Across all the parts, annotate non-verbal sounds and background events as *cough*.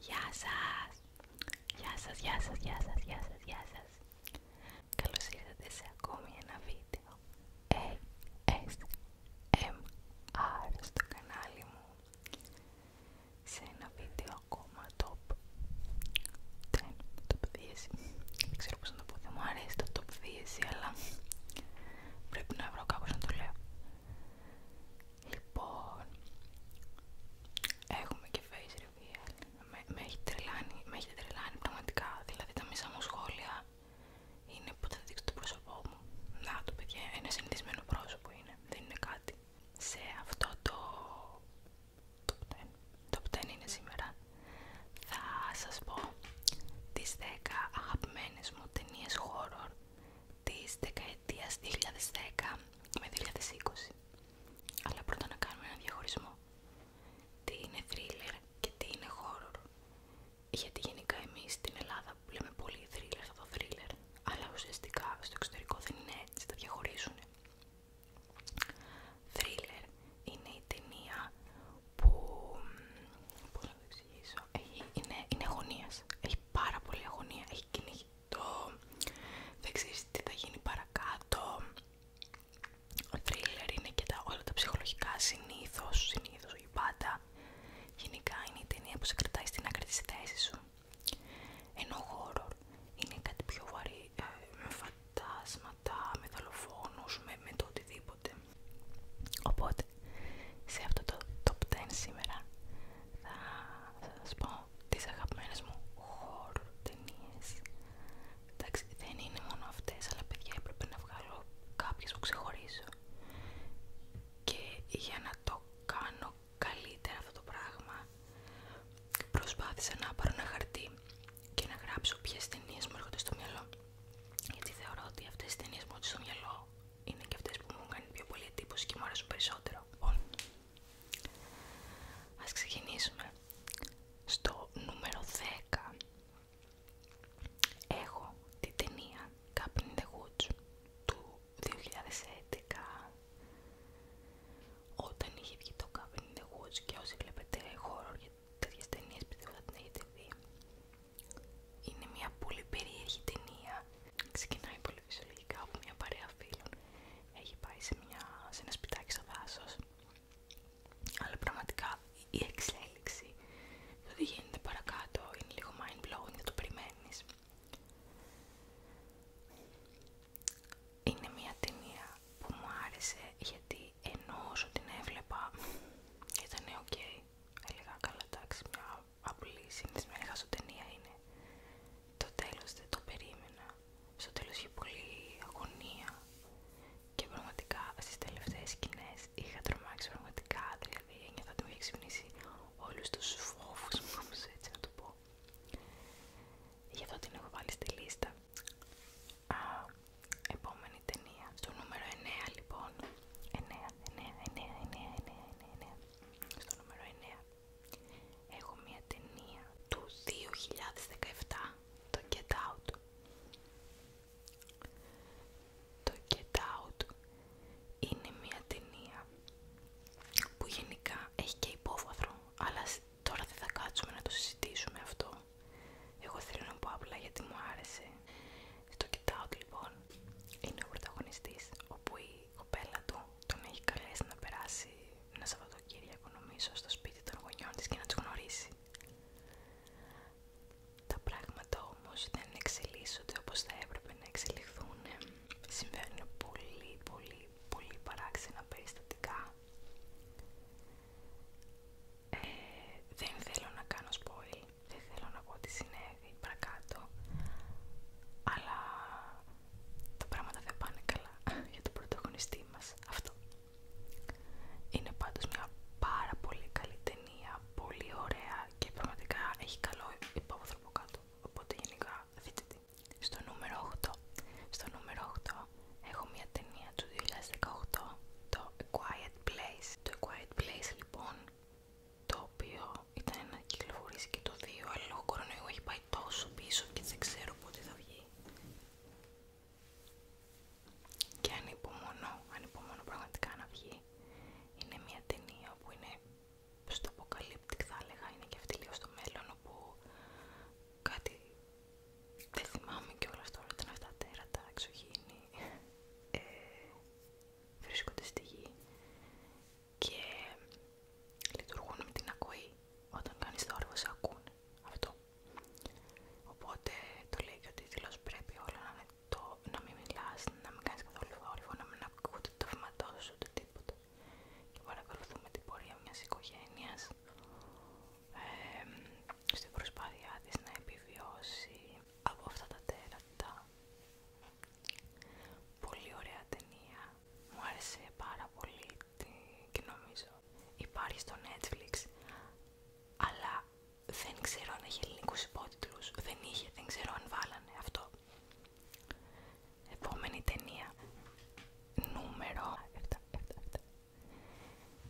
Γεια σας! Γεια σας, γεια σας, γεια σας, γεια σας, γεια σας! ήρθατε σε ακόμη ένα βίντεο ASMR ε, στο κανάλι μου σε ένα βίντεο ακόμα top 10, που να το πω, δεν μου αρέσει το top thesis, αλλά πρέπει να βρω κάποιον να το λέω. Λοιπόν, έχουμε και face reveal, με, έχει τρελάνει, με έχει τρελάνει πραγματικά, δηλαδή τα μισά μου σχόλια είναι που θα δείξω το πρόσωπό μου. Να το παιδιά, ένα συνηθισμένο πρόσωπο είναι, δεν είναι κάτι. Σε αυτό το top 10, top 10 είναι σήμερα, θα σας πω τις 10 αγαπημένες μου ταινίες horror της δεκαετίας 2010 με 2020 αλλά πρώτα να κάνουμε ένα διαχωρισμό τι είναι thriller και τι είναι horror γιατί γενικά εμείς στην Ελλάδα που λέμε πολύ thriller θα το thriller αλλά ουσιαστικά στο εξωτερικό δεν είναι έτσι, τα διαχωρίζουν thriller είναι η ταινία που, πώς να το εξηγήσω, είναι, είναι αγωνίας, έχει πάρα πολλή αγωνία, έχει κυνηγητό, δεν ξέρεις τι θα γίνει παρακάτω, thriller είναι και τα, όλα τα ψυχολογικά συνήθως, συνήθως όχι πάντα, γενικά είναι η ταινία που σε κρατάει στην άκρη της σου. Ενώ horror είναι κάτι πιο βαρύ, ε, με φαντάσματα, με δολοφόνους, με, το οτιδήποτε. Οπότε, σε αυτό το top 10 σήμερα θα, θα σας πω τις αγαπημένες μου horror Εντάξει, δεν είναι μόνο αυτές, αλλά παιδιά έπρεπε να βγάλω κάποιες που ξεχωρίζω. Και για να το κάνω καλύτερα αυτό το πράγμα, προσπάθησα να πάρω ένα χαρτί και να γράψω ποιες ταινίες μου έρχονται στο μυαλό. Γιατί θεωρώ ότι αυτές οι ταινίες μου έρχονται στο μυαλό είναι και αυτές που μου κάνει πιο πολύ εντύπωση και μου αρέσουν περισσότερο. Λοιπόν, ας ξεκινήσουμε. Στο νούμερο 10 έχω την ταινία Cup in the Woods του 2011 όταν είχε βγει το Cup in the Woods και όσοι βλέπετε γιατί τέτοιε ταινίε πιστεύω θα την έχετε δει. Είναι μια πολύ περίεργη ταινία. Ξεκινάει πολύ φυσιολογικά από μια παρέα φίλων. Έχει πάει σε, μια, ένα σπιτάκι στο δάσο. Αλλά πραγματικά η εξέλιξη, το γίνεται παρακάτω, είναι λίγο mind blowing, δεν το περιμένει. Είναι μια ταινία που μου άρεσε γιατί ενώ όσο την έβλεπα ήταν ok. Έλεγα καλά, εντάξει, μια απλή συνηθισμένη ταινία είναι. Το τέλος δεν το περίμενα. Στο τέλος είχε πολύ αγωνία και πραγματικά στις τελευταίες σκηνές είχα τρομάξει πραγματικά, δηλαδή ένιωθα ότι μου είχε ξυπνήσει όλους τους φόβους *laughs* μου, έτσι να το πω. Γι' αυτό την έχω βάλει στη λίστα επόμενη ταινία. Στο νούμερο 9 λοιπόν. 9, 9, 9, 9, 9, 9. Στο νούμερο μια ταινία του 2017. Το Get Out. Το Get είναι μια ταινία που γενικά έχει και υπόβαθρο, αλλά τώρα δεν θα κάτσουμε να το συζητήσουμε αυτό. Εγώ θέλω να πω απλά γιατί μου άρεσε. Στο κοιτάω λοιπόν, είναι ο πρωταγωνιστής, όπου η κοπέλα του τον έχει καλέσει να περάσει ένα Σαββατοκύριακο νομίζω στο σπίτι των γονιών της και να του γνωρίσει. Τα πράγματα όμως δεν εξελίσσονται όπως θα έπρεπε να εξελιχθούν. Συμβαίνουν πολύ πολύ πολύ παράξενα περιστατικά ε, δεν θέλω να κάνω spoil, δεν θέλω να πω τι συνέβη παρακάτω, αλλά τα πράγματα δεν πάνε καλά *laughs* για τον πρωταγωνιστή μας αυτό. Είναι πάντως μια πάρα πολύ καλή ταινία, πολύ ωραία και πραγματικά έχει καλό υπόβαθρο από κάτω, οπότε γενικά δείτε στο νούμερο 8. Στο έχω μια ταινία του 2018, το A Quiet Place. Το Quiet Place λοιπόν, το οποίο ήταν ένα κυκλοφορής και το 2, αλλά λόγω κορονοϊού έχει πάει τόσο πίσω και δεν ξέρω πότε θα βγει. Και ανυπομονώ, ανυπομονώ πραγματικά να βγει. Είναι μια ταινία που είναι στο αποκαλύπτικ θα έλεγα, είναι και αυτή λίγο στο μέλλον όπου κάτι δεν θυμάμαι κιόλας τώρα, ήταν αυτά τα τέρατα, εξωγήινοι, ε, βρίσκονται στη γη και λειτουργούν με την ακοή. Όταν κάνεις θόρυβο σε ακούνε. Αυτό. Οπότε το λέει και ο τίτλος πρέπει όλα να, είναι το, να μην μιλάς, να μην κάνεις καθόλου θόρυβο, να μην ακούτε το βηματό σου, ούτε τίποτα. Και παρακολουθούμε την πορεία μιας οικογένειας στην προσπάθειά της να επιβιώσει από αυτά τα τέρατα. Πολύ ωραία ταινία. Μου άρεσε πάρα πολύ και νομίζω υπάρχει στο Netflix, αλλά δεν ξέρω αν έχει ελληνικούς υπότιτλους. Δεν είχε, δεν ξέρω αν βάλανε αυτό. Επόμενη ταινία. Νούμερο 7.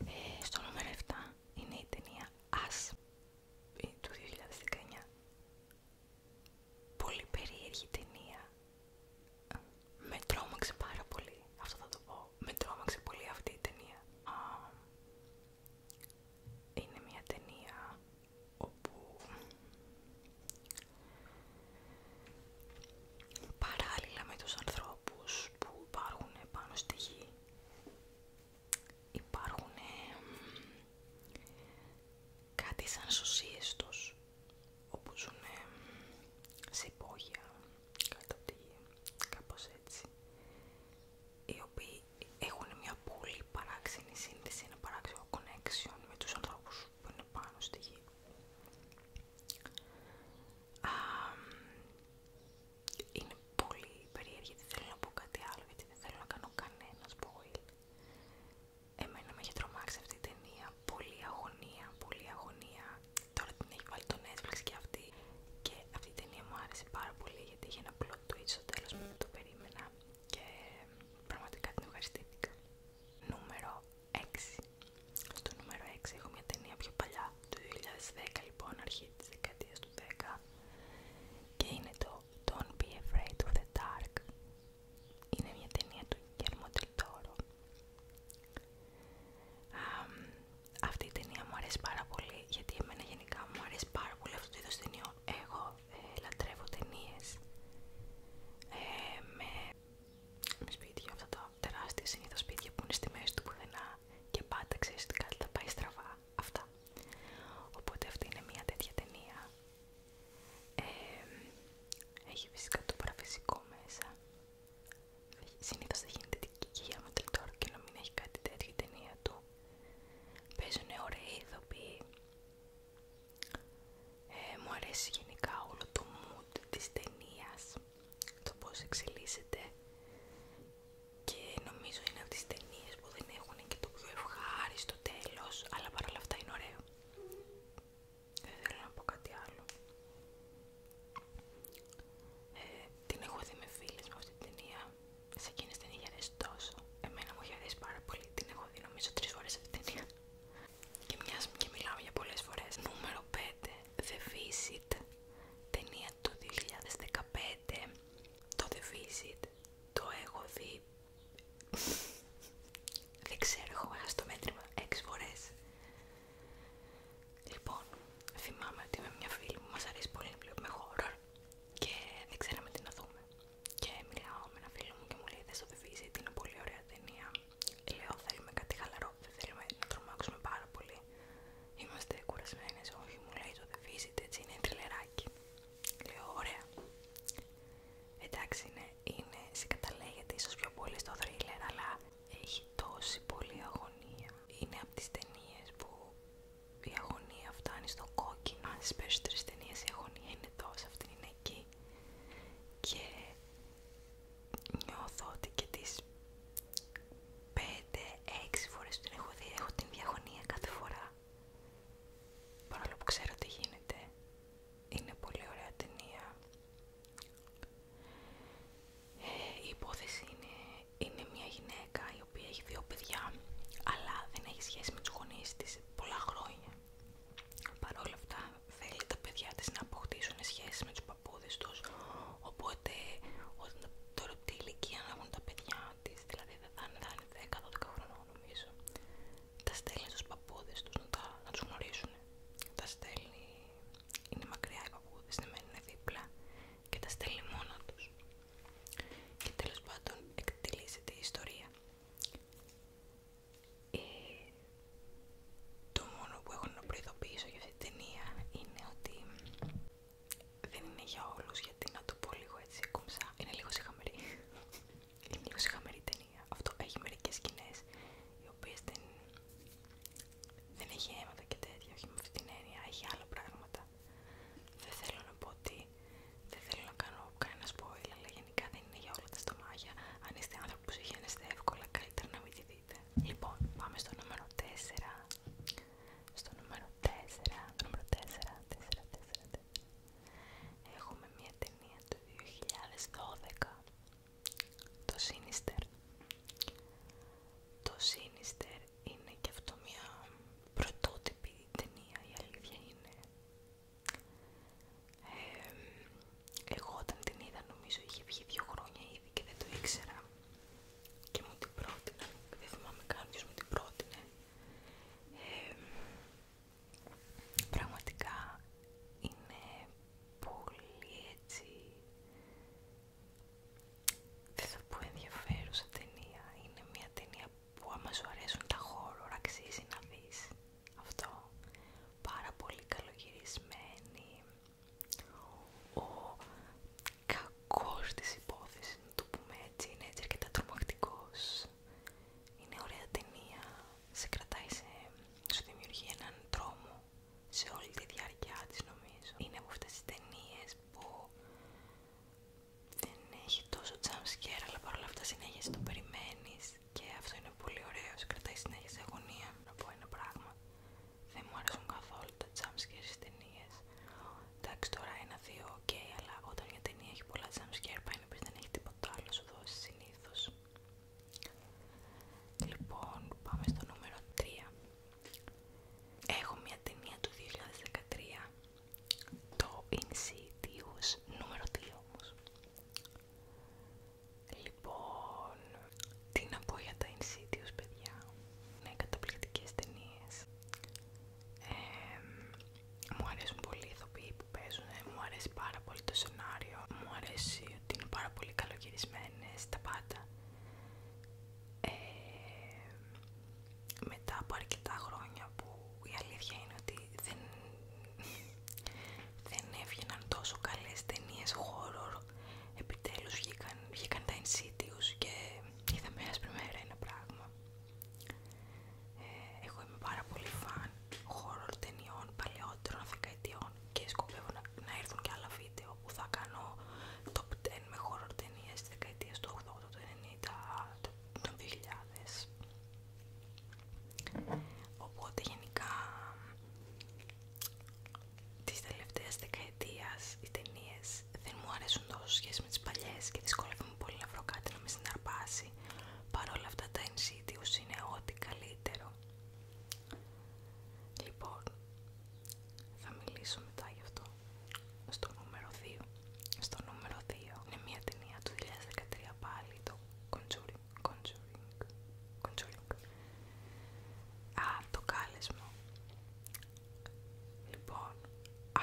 Ε, στο νούμερο 7 είναι η ταινία As ε, του 2019. Πολύ περίεργη ταινία. Με τρόμαξε πάρα πολύ. Αυτό θα το πω. Με τρόμαξε πολύ αυτή η ταινία. Είναι μια ταινία όπου Παράλληλα με τους ανθρώπους που υπάρχουν πάνω στη γη υπάρχουν ε, κάτι σαν σωσίες τους όπου ζουν ε, σε υπόγεια κάπως έτσι οι οποίοι έχουν μια πολύ παράξενη σύνδεση, ένα παράξενο connection με τους ανθρώπους που είναι πάνω στη γη είναι πολύ περίεργη, γιατί θέλω να πω κάτι άλλο γιατί δεν θέλω να κάνω κανένα spoil. Εμένα με έχει τρομάξει αυτή η ταινία, πολύ αγωνία, πολύ αγωνία. Τώρα την έχει βάλει το Netflix και αυτή. Και αυτή η ταινία μου άρεσε πάρα πολύ γιατί είχε ένα plot twist στο τέλος που το περίμενα και ε, πραγματικά την ευχαριστήθηκα. Νούμερο έξι, Στο νούμερο 6 έχω μια ταινία πιο παλιά, του 2010 λοιπόν, αρχή της δεκαετίας του 10 και είναι το Don't Be Afraid of the Dark. Είναι μια ταινία του Γερμοντιλτόρο. Αυτή η ταινία μου αρέσει πάρα πολύ γιατί εμένα γενικά μου αρέσει πάρα πολύ αυτό το είδος ταινίο Εγώ ε, λατρεύω ταινίες ε, με σπίτια, αυτά τα τεράστια συνήθω σπίτια που είναι στη μέση του πουθενά και πάντα ξέρει ότι κάτι θα πάει στραβά. Αυτά. Οπότε αυτή είναι μια τέτοια ταινία. έχει φυσικά το παραφυσικό μέσα. Συνήθω θα γίνεται την κοιλιά με τον και να μην έχει κάτι τέτοιο η ταινία του. παίζουνε ωραίοι ηθοποιοί. Ε, μου αρέσει γενικά όλο το mood της ταινία, το πώς εξελίσσεται και νομίζω είναι από τις ταινίε που δεν έχουν και το πιο ευχάριστο τέλος, αλλά παρόλα αυτά είναι ωραία Δεν θέλω να πω κάτι άλλο. Ε, την έχω δει με φίλες μου αυτή την ταινία. Σε εκείνες δεν είχε τόσο. Εμένα μου είχε αρέσει πάρα πολύ. Την έχω δει νομίζω τρεις ώρες αυτή την ταινία. Και μιας και μιλάω για πολλές φορές. Νούμερο 5. The Visit. Ταινία του 2015. Το The Visit το έχω δει... *laughs* Δεν ξέρω, έχω χάσει το μέτρημα 6 φορές. Λοιπόν, θυμάμαι ότι με μια φίλη μου μας αρέσει πολύ να βλέπουμε horror και δεν ξέραμε τι να δούμε. Και μιλάω με ένα φίλο μου και μου λέει: Δε το The Visit, είναι πολύ ωραία ταινία. Λέω θέλουμε κάτι χαλαρό, θέλουμε να τρομάξουμε πάρα πολύ. Είμαστε κουρασμένε, όχι μου λέει το The έτσι είναι τριλεράκι. Λέω ωραία. Εντάξει ναι, είναι, συγκαταλέγεται ίσως πιο πολύ στο thriller, αλλά έχει τόση πολύ αγωνία. Είναι από τις ταινίε που η αγωνία φτάνει στο κόκκινο. Αν στις περισσότερες ταινίες η αγωνία είναι τόσα, αυτή είναι εκεί και νιώθω ότι και τις 5-6 φορές που την έχω δει έχω την διαγωνία κάθε φορά παρόλο που ξέρω τι γίνεται είναι πολύ ωραία ταινία ε, η υπόθεση είναι, είναι μια γυναίκα η οποία έχει δύο παιδιά αλλά δεν έχει σχέση με τους γονείς της πολλά χρόνια παρόλα αυτά θέλει τα παιδιά της να αποκτήσουν σχέσει με τους παππούδες τους οπότε όταν τώρα τι ηλικία να έχουν τα παιδιά της δηλαδή δεν θα είναι, 10 10-12 χρονών νομίζω τα στέλνει στους παππούδες τους να, να τους γνωρίσουν τα στέλνει, είναι μακριά οι παππούδες, δεν ναι, μένουν δίπλα και τα στέλνει μόνο τους και τέλος πάντων εκτελήσεται η ιστορία ε, το μόνο που έχω να προειδοποιήσω για αυτή την ταινία είναι ότι δεν είναι για όλους γιατί να το πω λίγο έτσι κούμψα, είναι λίγο συχαμερή είναι λίγο συχαμερή ταινία αυτό έχει μερικές σκηνές οι οποίες δεν, δεν έχει αίματα και τέτοια όχι με αυτή την έννοια, έχει άλλα πράγματα δεν θέλω να πω ότι δεν θέλω να κάνω κανένα spoiler, αλλά γενικά δεν είναι για όλα τα στομάχια. Αν είστε άνθρωποι που συγχαίνεστε εύκολα, καλύτερα να μην τη δείτε. Λοιπόν, πάμε στο νούμερο 4. Στο νούμερο 4, νούμερο 4, 4, 4, 4. Έχουμε μια ταινία το 2012. Το Sinister. Το Sinister είναι και αυτό μια πρωτότυπη ταινία, η αλήθεια είναι εγώ όταν την είδα νομίζω είχε βγει δύο χρόνια ήδη και δεν το ήξερα και μου την πρότεινα, δεν θυμάμαι καν ποιος μου την πρότεινε. πραγματικά είναι πολύ έτσι, δεν θα πω ενδιαφέρουσα ταινία, είναι μια ταινία που άμα σου αρέσουν τα χώρο αξίζει να δεις αυτό πάρα πολύ καλογυρισμένη ο κακός της υπόθεσης να το πούμε έτσι είναι έτσι αρκετά τρομακτικός είναι ωραία ταινία σε κρατάει σε, σου δημιουργεί έναν τρόμο σε όλη τη διάρκεια της νομίζω είναι από αυτές τις ταινίες που δεν έχει τόσο jumpscare αλλά παρόλα αυτά συνέχεια το περιμένεις και αυτό είναι πολύ ωραίο, σε κρατάει συνέχεια σε αγωνία να πω ένα πράγμα δεν μου αρέσουν καθόλου τα jumpscare στις ταινίες εντάξει τώρα ένα-δύο ok αλλά όταν μια ταινία έχει πολλά jumpscare πάει να πεις δεν έχει τίποτα άλλο σου δώσει συνήθως λοιπόν πάμε στο νούμερο 3 έχω μια ταινία του 2013 το Insidious νούμερο 2 όμως. Λοιπόν, τι να πω για τα Insidious παιδιά, είναι καταπληκτικές ταινίες. μου αρέσουν πολύ οι ηθοποιοί που παίζουν, ε, μου αρέσει πάρα πολύ το σενάριο, μου αρέσει ότι είναι πάρα πολύ καλοκαιρισμένες τα πάντα. μετά από αρκετά χρόνια που η αλήθεια είναι ότι δεν, έβγαιναν τόσο καλές ταινίες horror. Επιτέλους βγήκαν, τα Insidious και είδαμε ένας πριμέρα ένα πράγμα. Ε, εγώ είμαι πάρα πολύ φαν horror ταινιών παλαιότερων δεκαετιών και σκοπεύω να, έρθουν και άλλα βίντεο που θα κάνω top 10 με horror ταινίες της δεκαετίας του 80, του 90, των 2000. Οπότε γενικά τις τελευταίες δεκαετία, οι ταινίε δεν μου αρέσουν τόσο σχέση με τις παλιές και μου πολύ να βρω κάτι να με συναρπάσει. παρόλα αυτά τα Insidious είναι ό,τι καλύτερο. Λοιπόν, θα μιλήσω μετά γι' αυτό στο νούμερο 2. Στο νούμερο 2 είναι μια ταινία του 2013 πάλι, το Conjuring. Conjuring. Α, το κάλεσμα. Λοιπόν,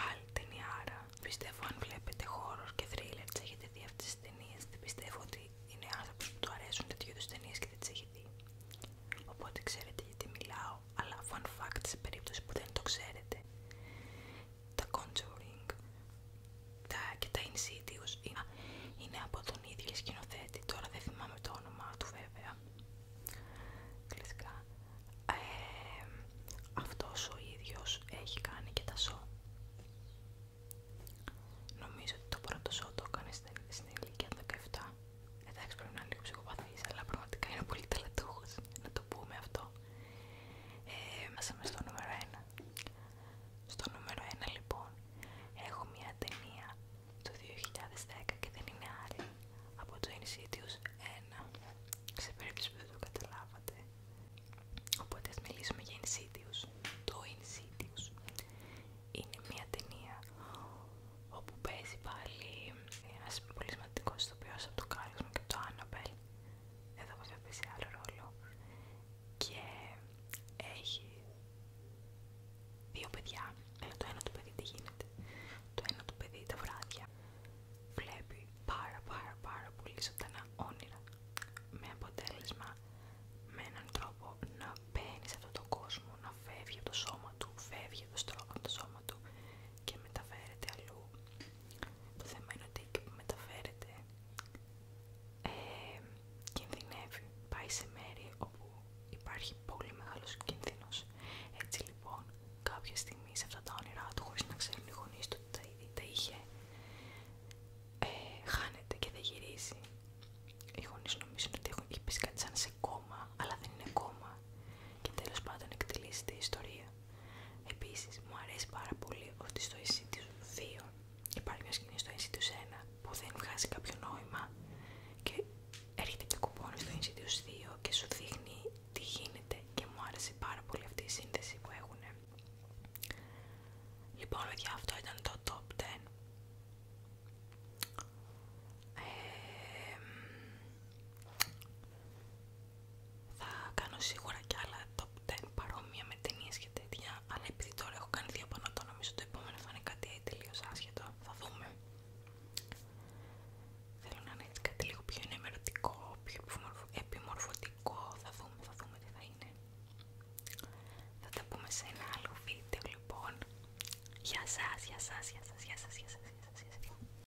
άλλη ταινία άρα. Πιστεύω αν βλέπετε χώρο και thriller, τι έχετε δει αυτέ τι ταινίε. Δεν πιστεύω ότι είναι άνθρωποι που του αρέσουν τέτοιου είδου ταινίε και δεν τι έχει δει. Οπότε ξέρετε γιατί μιλάω. Αλλά fun fact σε περίπτωση που δεν το ξέρετε τα contouring τα, και τα Insidious είναι από τον ίδιο σκηνοθέτη, τώρα δεν θυμάμαι το όνομά του βέβαια κλασικά Αυτό αυτός ο ίδιος έχει κάνει και τα σο νομίζω ότι το πρώτο σο το έκανε στην ηλικία 17 εντάξει πρέπει να είναι λίγο ψυχοπαθής αλλά πραγματικά είναι πολύ τελετούχος να το πούμε αυτό ε, μέσα στο νούμερο 1. Στο νούμερο 1 λοιπόν έχω μια ταινία του 2010 και δεν είναι άλλη από το Insidious 1. Σε περίπτωση που δεν το καταλάβατε. Οπότε ας μιλήσουμε για Insidious. Το Insidious είναι μια ταινία όπου παίζει πάλι ένας πολύ σημαντικός ηθοποιός από το Κάλισμα και το Annabelle εδώ βέβαια σε άλλο ρόλο και έχει δύο παιδιά αλλά ε, το ένα του παιδί τι γίνεται το ένα του παιδί τα βράδια βλέπει πάρα πάρα πάρα πολύ ζωντανά όνειρα με αποτέλεσμα με έναν τρόπο να μπαίνει σε αυτόν τον κόσμο να φεύγει από το σώμα του φεύγει από το, στρώμα, το του και μεταφέρεται αλλού το θέμα είναι ότι που μεταφέρεται ε, κινδυνεύει, πάει σε μέρη όπου υπάρχει πολύ μεγάλος κίνδυνος. Έτσι λοιπόν κάποια στιγμή σε αυτά τα όνειρά του, χωρίς να ξέρουν οι γονείς του ότι τα, είχε, ε, χάνεται και δεν γυρίζει. Οι γονείς νομίζουν ότι έχουν, έχει κάτι σαν σε κόμμα, αλλά δεν είναι κόμμα και τέλος πάντων εκτελείσεται η ιστορία. Επίσης, μου αρέσει πάρα πολύ ότι στο Insidious 2 υπάρχει μια σκηνή στο Insidious 1 που δεν βγάζει κάποιο νόημα και έρχεται και κουπόνι στο Insidious 2 και σου δείχνει τι γίνεται και μου άρεσε πάρα πολύ αυτή η σύνδεση που έχουν. Λοιπόν, παιδιά, αυτό ήταν το Top 10. Ε, θα κάνω σίγουρα κι άλλα top 10 παρόμοια με ταινίες και τέτοια αλλά επειδή τώρα έχω κάνει δύο πάνω το νομίζω το επόμενο θα είναι κάτι τελείως άσχετο θα δούμε θέλω να είναι κάτι λίγο πιο ενημερωτικό πιο επιμορφωτικό θα δούμε, θα δούμε τι θα είναι θα τα πούμε σε ένα άλλο βίντεο λοιπόν γεια σας, γεια σας, γεια σας, γεια σας, γεια σας,